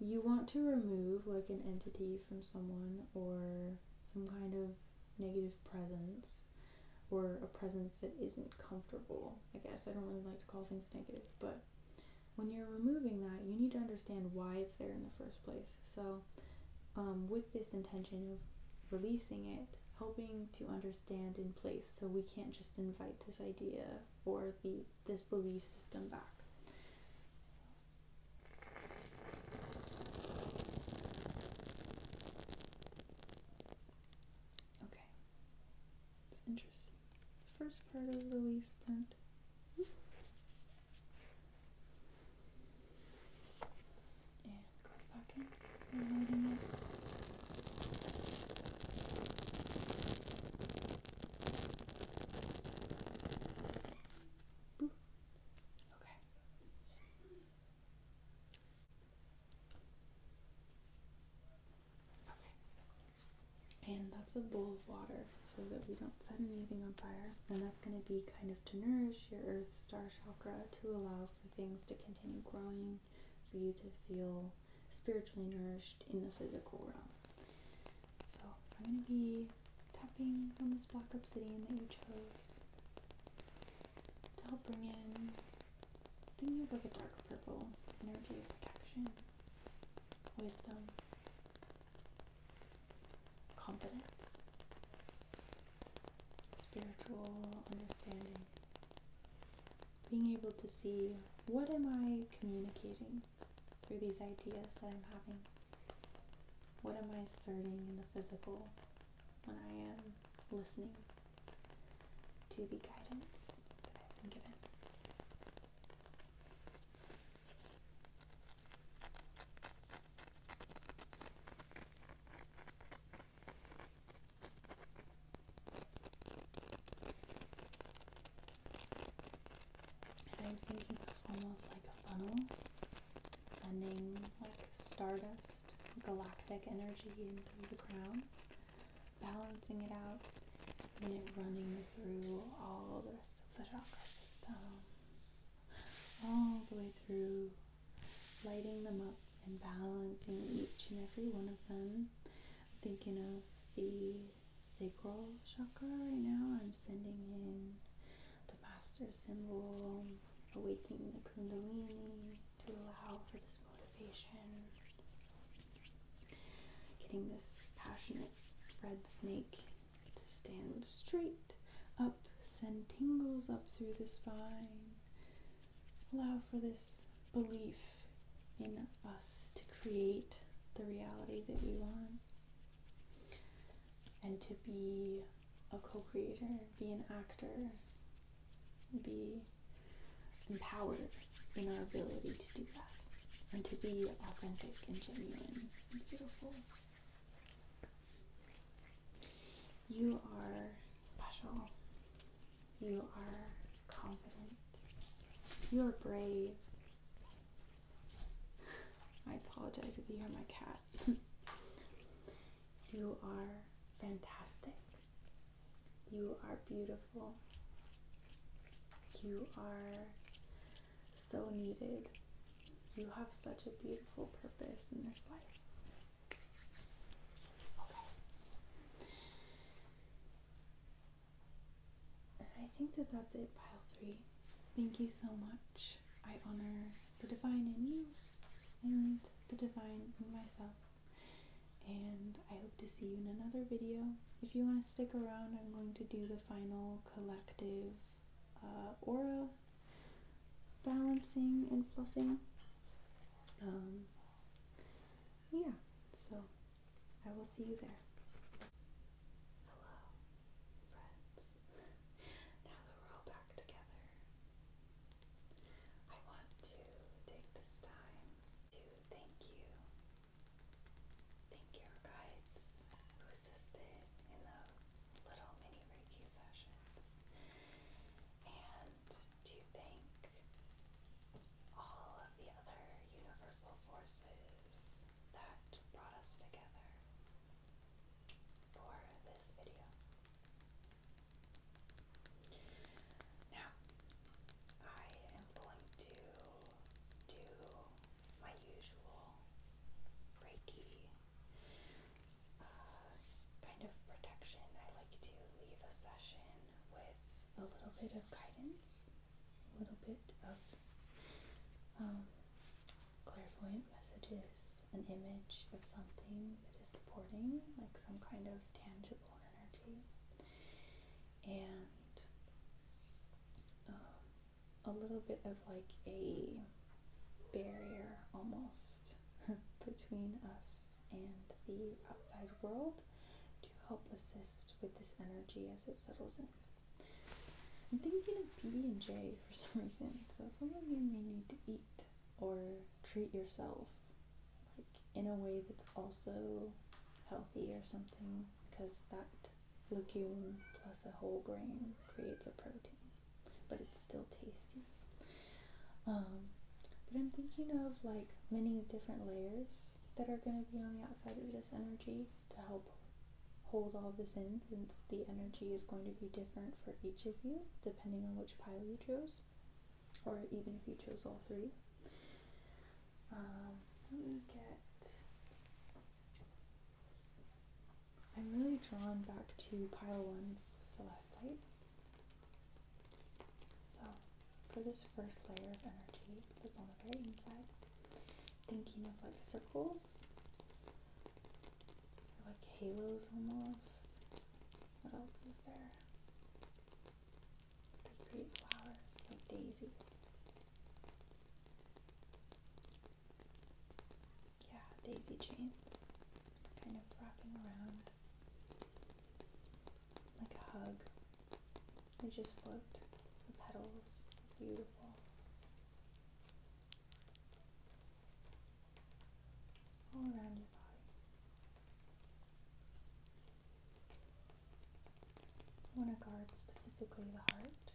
you want to remove like an entity from someone or some kind of negative presence or a presence that isn't comfortable. I guess I don't really like to call things negative, but when you're removing that, you need to understand why it's there in the first place. So, um, with this intention of releasing it, helping to understand in place, so we can't just invite this idea or the this belief system back. So, Okay. interesting. The first part of the leaf print. And Okay. And that's a bowl of water so that we don't set anything on fire. And that's going to be kind of to nourish your earth star chakra to allow for things to continue growing, for you to feel spiritually nourished in the physical realm. So I'm going to be tapping on this black obsidian that you chose to help bring in. I think you have like a dark purple energy protection, wisdom, confidence, spiritual understanding, being able to see what am I communicating through these ideas that I'm having. What am I asserting in the physical when I am listening to the guidance that I've been given. I'm thinking of almost like a funnel, sending like stardust galactic energy into the crown, balancing it out and it running through all the rest of the chakra systems, all the way through, lighting them up and balancing each and every one of them. I'm thinking of the sacral chakra right now, I'm sending in Master symbol, awakening the Kundalini to allow for this motivation, getting this passionate red snake to stand straight up, send tingles up through the spine, allow for this belief in us to create the reality that we want and to be a co-creator, be an actor, be empowered in our ability to do that and to be authentic and genuine and beautiful. You are special. You are confident. You are brave. I apologize if you are my cat. You are fantastic. You are beautiful. You are so needed. You have such a beautiful purpose in this life. Okay. I think that that's it, pile three. Thank you so much I honor the divine in you and the divine in myself. And I hope to see you in another video. If you want to stick around, I'm going to do the final collective uh, aura balancing and fluffing. Um, yeah, so I will see you there. Hello, friends. Now that we're all back together, I want to take this time to thank you. Thank your guides who assisted in those little mini Reiki sessions. And to thank all of the other universal forces that brought us together for this video. Now, I am going to do my usual Reiki uh, kind of protection. I like to leave a session with a little bit of guidance, a little bit of um, clairvoyant messages, an image of something that is supporting, like some kind of tangible energy. And um, a little bit of like a barrier almost between us and the outside world to help assist with this energy as it settles in. I'm thinking of PB and J for some reason, so some of you may need to eat or treat yourself like in a way that's also healthy or something because that legume plus a whole grain creates a protein but it's still tasty um, but i'm thinking of like many different layers that are going to be on the outside of this energy to help hold all this in since the energy is going to be different for each of you depending on what which pile you chose, or even if you chose all three. Um, I'm really drawn back to pile one's celestite. So, for this first layer of energy that's on the very inside, thinking of like circles like halos almost. What else is there? Like pretty flowers, like daisies. Yeah, daisy chains. Kind of wrapping around. Like a hug. They just float. The petals. Beautiful all around your body. You want to guard specifically the heart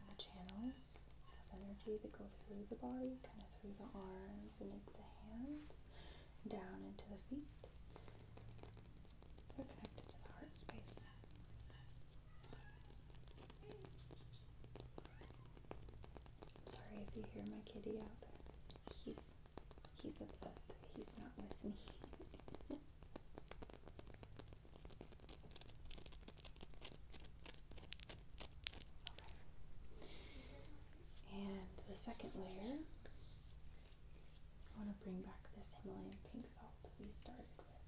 and the channels of energy that go through the body, kind of through the arms and into the hands, down into the feet. They're connected to the heart space. I'm sorry if you hear my kitty out there. He's he's upset that he's not with me. And the second layer, I want to bring back this Himalayan pink salt that we started with.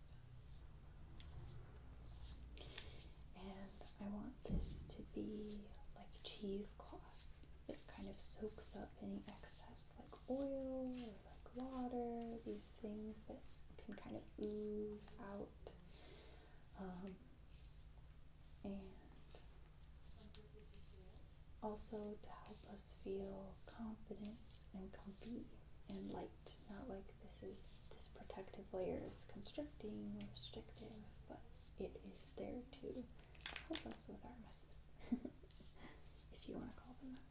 And I want this to be like cheesecloth that kind of soaks up any excess like oil or like water, these things that can kind of ooze out. Um, and also to help us feel confident and comfy and light, not like this is this protective layer is constricting restrictive, but it is there to help us with our messes, if you want to call them that.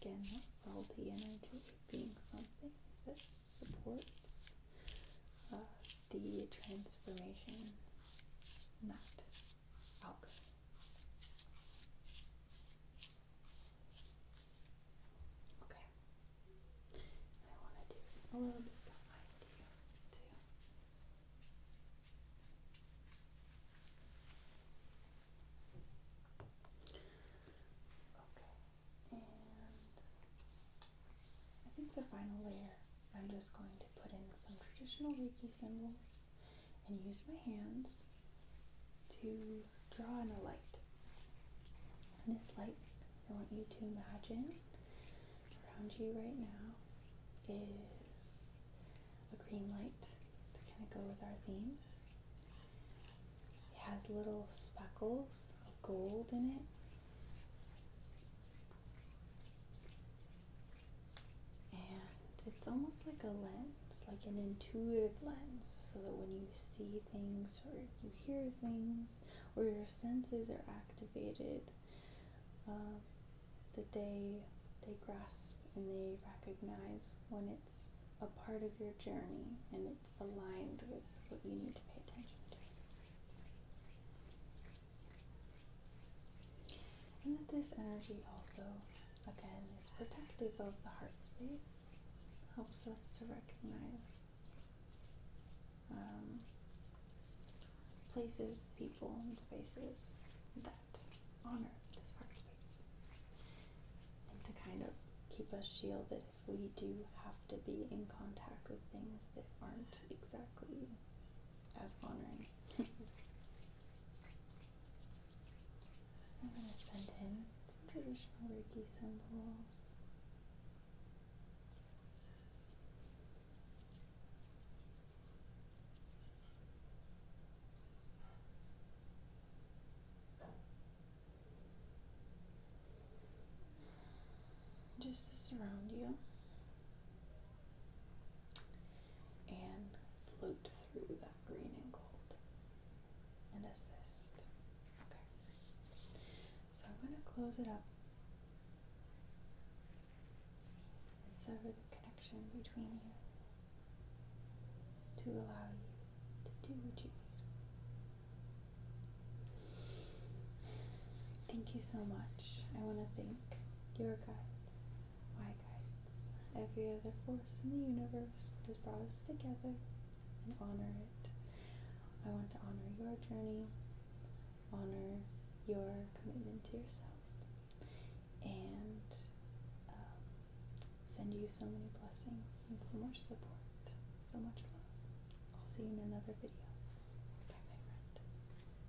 again, that salty energy being something that supports uh, the transformation, not out Okay. I want to do a little bit behind you too. Okay. And I think the final layer I'm just going to put in some traditional Reiki symbols and use my hands to draw in a light. And this light, I want you to imagine around you right now is a green light to kind of go with our theme. It has little speckles of gold in it. And it's almost like a lens, like an intuitive lens, so that when you see things or you hear things or your senses are activated, um, that they they grasp and they recognize when it's a part of your journey and it's aligned with what you need to pay attention to. And that this energy also, again, is protective of the heart space, helps us to recognize um, places, people, and spaces that honor this heart space. And to kind of keep us shielded if we do have to be in contact with things that aren't exactly I was wondering. I'm going to send in some traditional Reiki symbols. Just to surround you and float through that green and gold and assist. Okay. So I'm going to close it up and sever the connection between you to allow you to do what you need. Thank you so much. I want to thank your guides why guides every other force in the universe that has brought us together and honor it. I want to honor your journey, honor your commitment to yourself, and um, send you so many blessings and so much support, so much love. I'll see you in another video. Bye, my friend.